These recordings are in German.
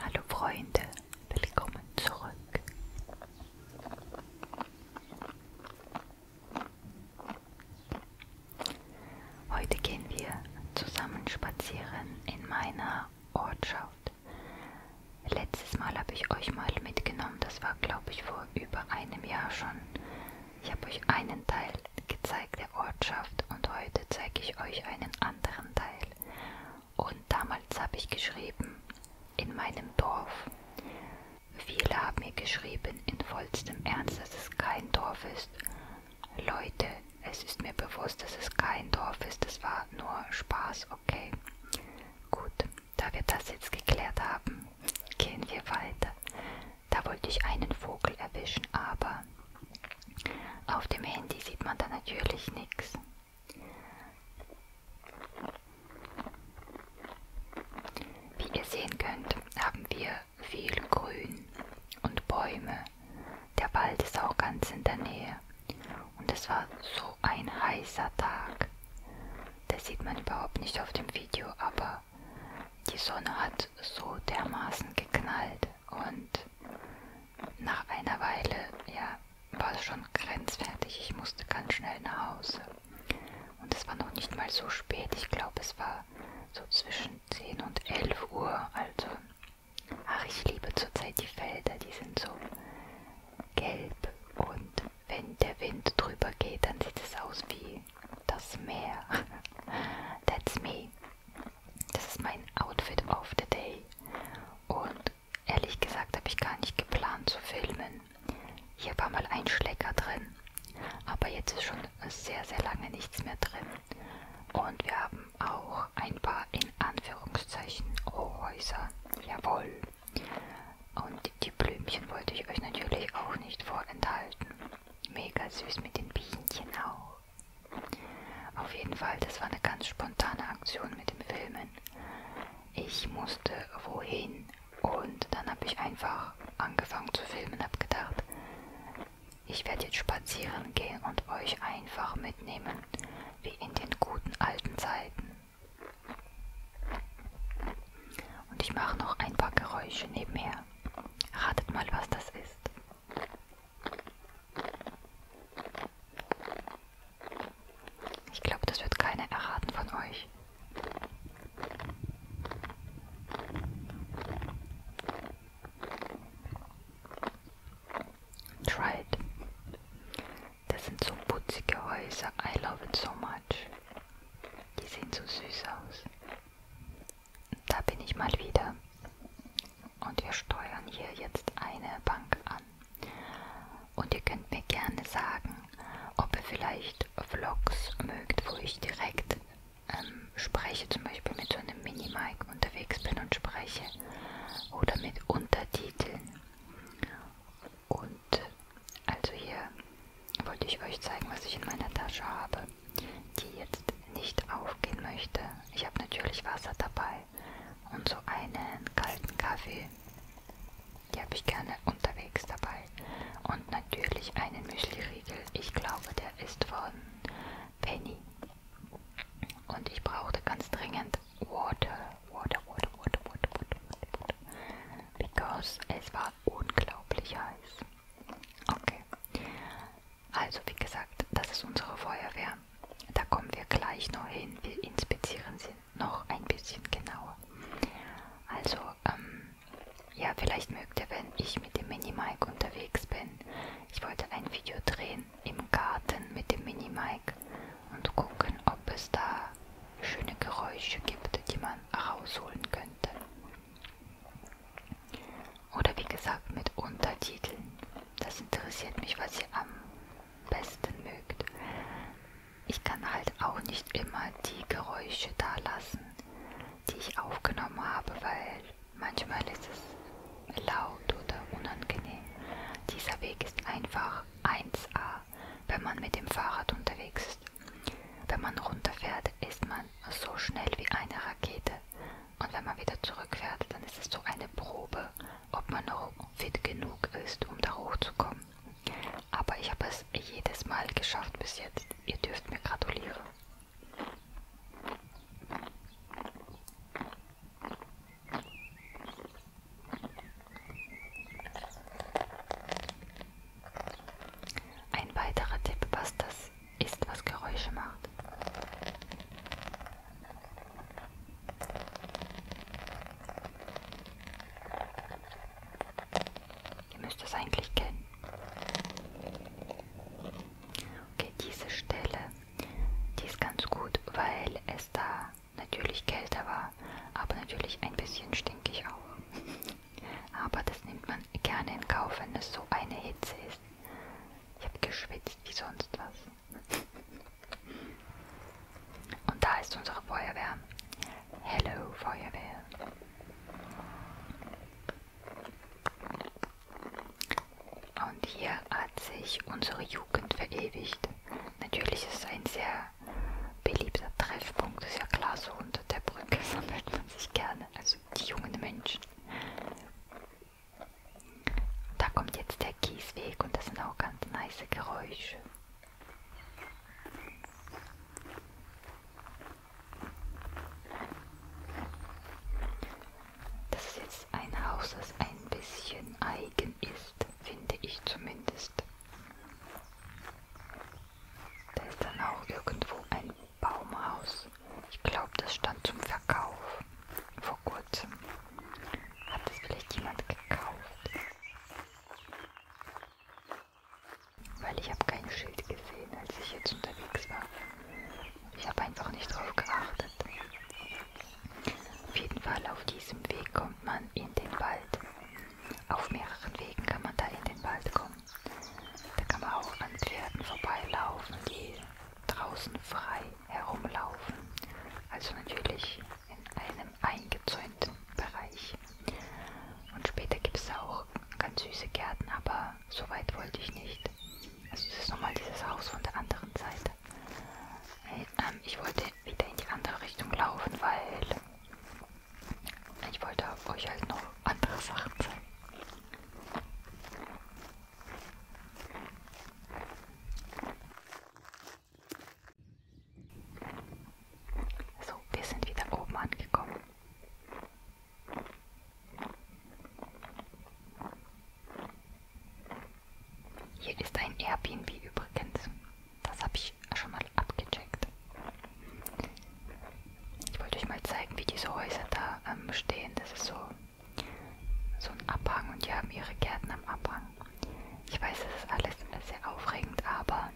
Hallo Freunde, willkommen zurück. Heute gehen wir zusammen spazieren in meiner Ortschaft. Letztes Mal habe ich euch mal mitgenommen, das war glaube ich vor über einem Jahr schon. Ich habe euch einen Teil gezeigt der Ortschaft und heute zeige ich euch einen anderen Teil. Und damals habe ich geschrieben, in meinem Dorf. Viele haben mir geschrieben, in vollstem Ernst, dass es kein Dorf ist. Leute, es ist mir bewusst, dass es kein Dorf ist. Das war nur Spaß, okay. Gut, da wir das jetzt geklärt haben, gehen wir weiter. Da wollte ich einen Vogel erwischen, aber auf dem Handy sieht man da natürlich nichts. Wie ihr sehen könnt, haben wir viel Grün und Bäume. Der Wald ist auch ganz in der Nähe. Und es war so ein heißer Tag. Das sieht man überhaupt nicht auf dem Video, aber die Sonne hat so dermaßen geknallt und nach einer Weile, ja, war es schon grenzwertig. Ich musste ganz schnell nach Hause. Und es war noch nicht mal so spät. Ich glaube, es war so zwischen 10 und 11 Uhr. Also, ach, ich liebe zurzeit die Felder. Die sind so gelb. Und wenn der Wind drüber geht, dann sieht es aus wie das Meer. That's me. Das ist mein Outfit of the Day. Und ehrlich gesagt habe ich gar nicht geplant zu filmen. Hier war mal ein Schlecker drin. Aber jetzt ist schon sehr, sehr lange nichts mehr drin. Und wir haben auch ein paar in Anführungszeichen Rohhäuser. Jawohl. Und die Blümchen wollte ich euch natürlich auch nicht vorenthalten. Mega süß mit den Bienchen auch. Auf jeden Fall, das war eine ganz spontane Aktion mit dem Filmen. Ich musste wohin und dann habe ich einfach angefangen zu filmen, habe gedacht, ich werde jetzt spazieren gehen und euch einfach mitnehmen, wie in den guten alten Zeiten. Und ich mache noch ein paar Geräusche nebenher. Ratet mal, was das ist. Ich glaube, das wird keiner erraten von euch. Tried. Das sind so putzige Häuser. I love it so much. Die sehen so süß aus da bin ich mal wieder. Und wir steuern hier jetzt eine Bank an. Und ihr könnt mir gerne sagen, ob ihr vielleicht Vlogs mögt, wo ich direkt ähm, spreche, zum Beispiel mit so einem Minimic unterwegs bin und spreche. Oder mit Untertiteln. Und also hier wollte ich euch zeigen, was ich in meiner Tasche habe die jetzt nicht aufgehen möchte. Ich habe natürlich Wasser dabei und so einen kalten Kaffee. Die habe ich gerne unterwegs dabei. Und natürlich einen Müsliriegel. Ich glaube, der ist von Penny. Und ich brauchte ganz dringend Water. Water, Water, Water, Water, Water, Water. Because es war unglaublich heiß. Okay. Also wie gesagt, das ist unsere Feuerwehr. Da kommen wir gleich noch hin. Wir inspizieren sie noch ein bisschen genauer. Also, ähm, ja, vielleicht mögt ihr, wenn ich mit dem Minimike unterwegs bin. Ich wollte ein Video drehen im Garten mit dem Minimike und gucken, ob es da schöne Geräusche gibt, die man rausholen könnte. Oder wie gesagt mit Untertiteln. Das interessiert mich, was ihr am besten mögt. Ich kann halt auch nicht immer die Geräusche da lassen, die ich aufgenommen habe, weil manchmal ist es laut oder unangenehm. Dieser Weg ist einfach 1A, wenn man mit dem Fahrrad unterwegs ist. Wenn man runterfährt, ist man man so schnell wie eine Rakete. Und wenn man wieder zurückfährt, dann ist es so eine Probe, ob man noch fit genug ist, um da hochzukommen. Aber ich habe es jedes Mal geschafft bis jetzt. Ihr dürft mir gratulieren. Ein weiterer Tipp, was das ist, was Geräusche macht. Ihr müsst es eigentlich kennen. Okay, diese Stelle, die ist ganz gut, weil es da natürlich kälter war, aber natürlich ein bisschen stinkig auch. Aber das nimmt man gerne in Kauf, wenn es so eine Hitze ist. Ich habe geschwitzt wie sonst was. Und da ist unsere Feuerwehr. Hello Feuerwehr. Und hier hat sich unsere Jugend verewigt. Natürlich ist es ein sehr beliebter Treffpunkt, ist ja klar, so unter der Brücke sammelt man sich gerne. Also die jungen Menschen. Da kommt jetzt der Kiesweg und das sind auch ganz nice Geräusche. Das ist jetzt ein Haus, das ein bisschen eigen ist, finde ich zumindest. Da ist dann auch irgendwo ein Baumhaus. Ich glaube, das stand zum Verkauf vor kurzem. Hat das vielleicht jemand gekauft? Weil ich habe kein Schild gesehen, als ich jetzt unterwegs war. Ich habe einfach nicht drauf geachtet. Auf jeden Fall auf diesem Weg kommt man in den Wald. Auf mehreren Wegen kann man da in den Wald kommen. Da kann man auch an Pferden vorbeilaufen, die draußen frei herumlaufen. Also natürlich in einem eingezäunten Bereich. Und später gibt es auch ganz süße Gärten, aber so weit wollte ich nicht. Also es ist nochmal dieses Haus von der anderen Seite. Ähm, ich wollte wieder in die andere Richtung laufen, weil ich wollte euch halt noch andere Sachen zeigen. So, wir sind wieder oben angekommen. Hier ist ein Airbnb übrigens. Das habe ich ich schon mal abgecheckt. Ich wollte euch mal zeigen, wie diese Häuser da ähm, stehen. Das ist so, so ein Abhang und die haben ihre Gärten am Abhang. Ich weiß, das ist alles sehr aufregend, aber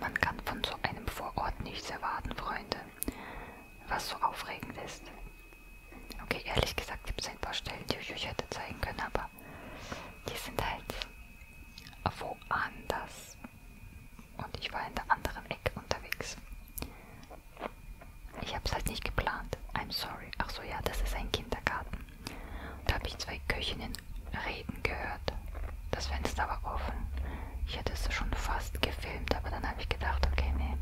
man kann von so einem Vorort nichts erwarten, Freunde. Was so aufregend ist. Okay, ehrlich gesagt gibt es ein paar Stellen, die ich euch hätte zeigen können, aber die sind halt woanders und ich war in der anderen Ecke unterwegs. Ich hab's halt nicht geplant. I'm sorry. Ach so, ja, das ist ein Kindergarten. Da habe ich zwei Köchinnen reden gehört. Das Fenster war offen. Ich hätte es schon fast gefilmt, aber dann habe ich gedacht, okay, nee,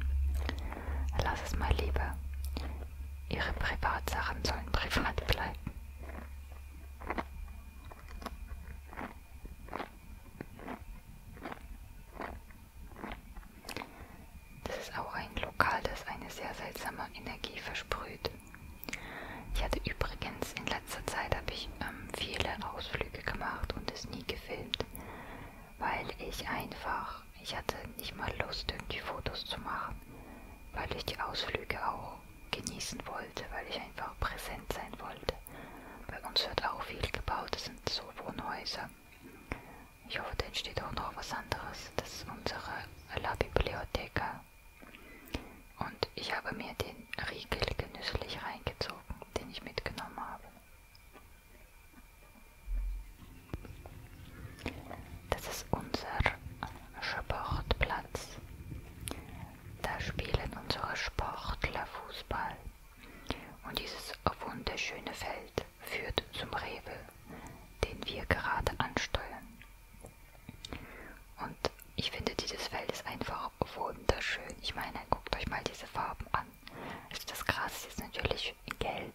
lass es mal lieber. Ihre Privatsachen sollen privat bleiben. Das ist auch ein Lokal, das eine sehr seltsame Energie versprüht. Ich hatte übrigens in letzter Zeit habe ich ähm, viele Ausflüge gemacht und es nie gefilmt, weil ich einfach, ich hatte nicht mal Lust, irgendwie Fotos zu machen, weil ich die Ausflüge auch genießen wollte, weil ich einfach präsent sein wollte. Bei uns wird auch viel gebaut, es sind so Wohnhäuser. Ich hoffe, da entsteht auch noch was anderes. Das ist unsere La Bibliotheca. Und ich habe mir den Riegel genüsslich reingezogen, den ich mitgenommen habe. Das ist unser Sportplatz da spielen unsere Sportler Fußball. Und dieses wunderschöne Feld führt zum Rewe, den wir gerade ansteuern. Und ich finde, dieses Feld ist einfach wunderschön. Ich meine, guckt euch mal diese Farben an. Also das Gras ist natürlich gelb,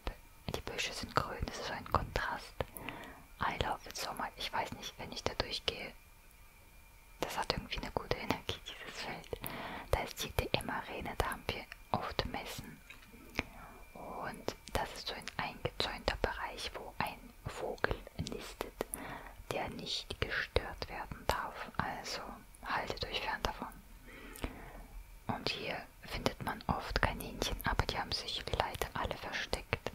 die Büsche sind grün, das ist so ein Kontrast. I love it so much. Ich weiß nicht, wenn ich da durchgehe, das hat irgendwie eine gute Energie, dieses Feld. Da ist die DM-Arena, da haben wir oft Messen. Und das ist so ein eingezäunter Bereich, wo ein Vogel nistet, der nicht gestört werden darf. Also haltet euch fern davon. Und hier findet man oft Kaninchen, aber die haben sich leider alle versteckt.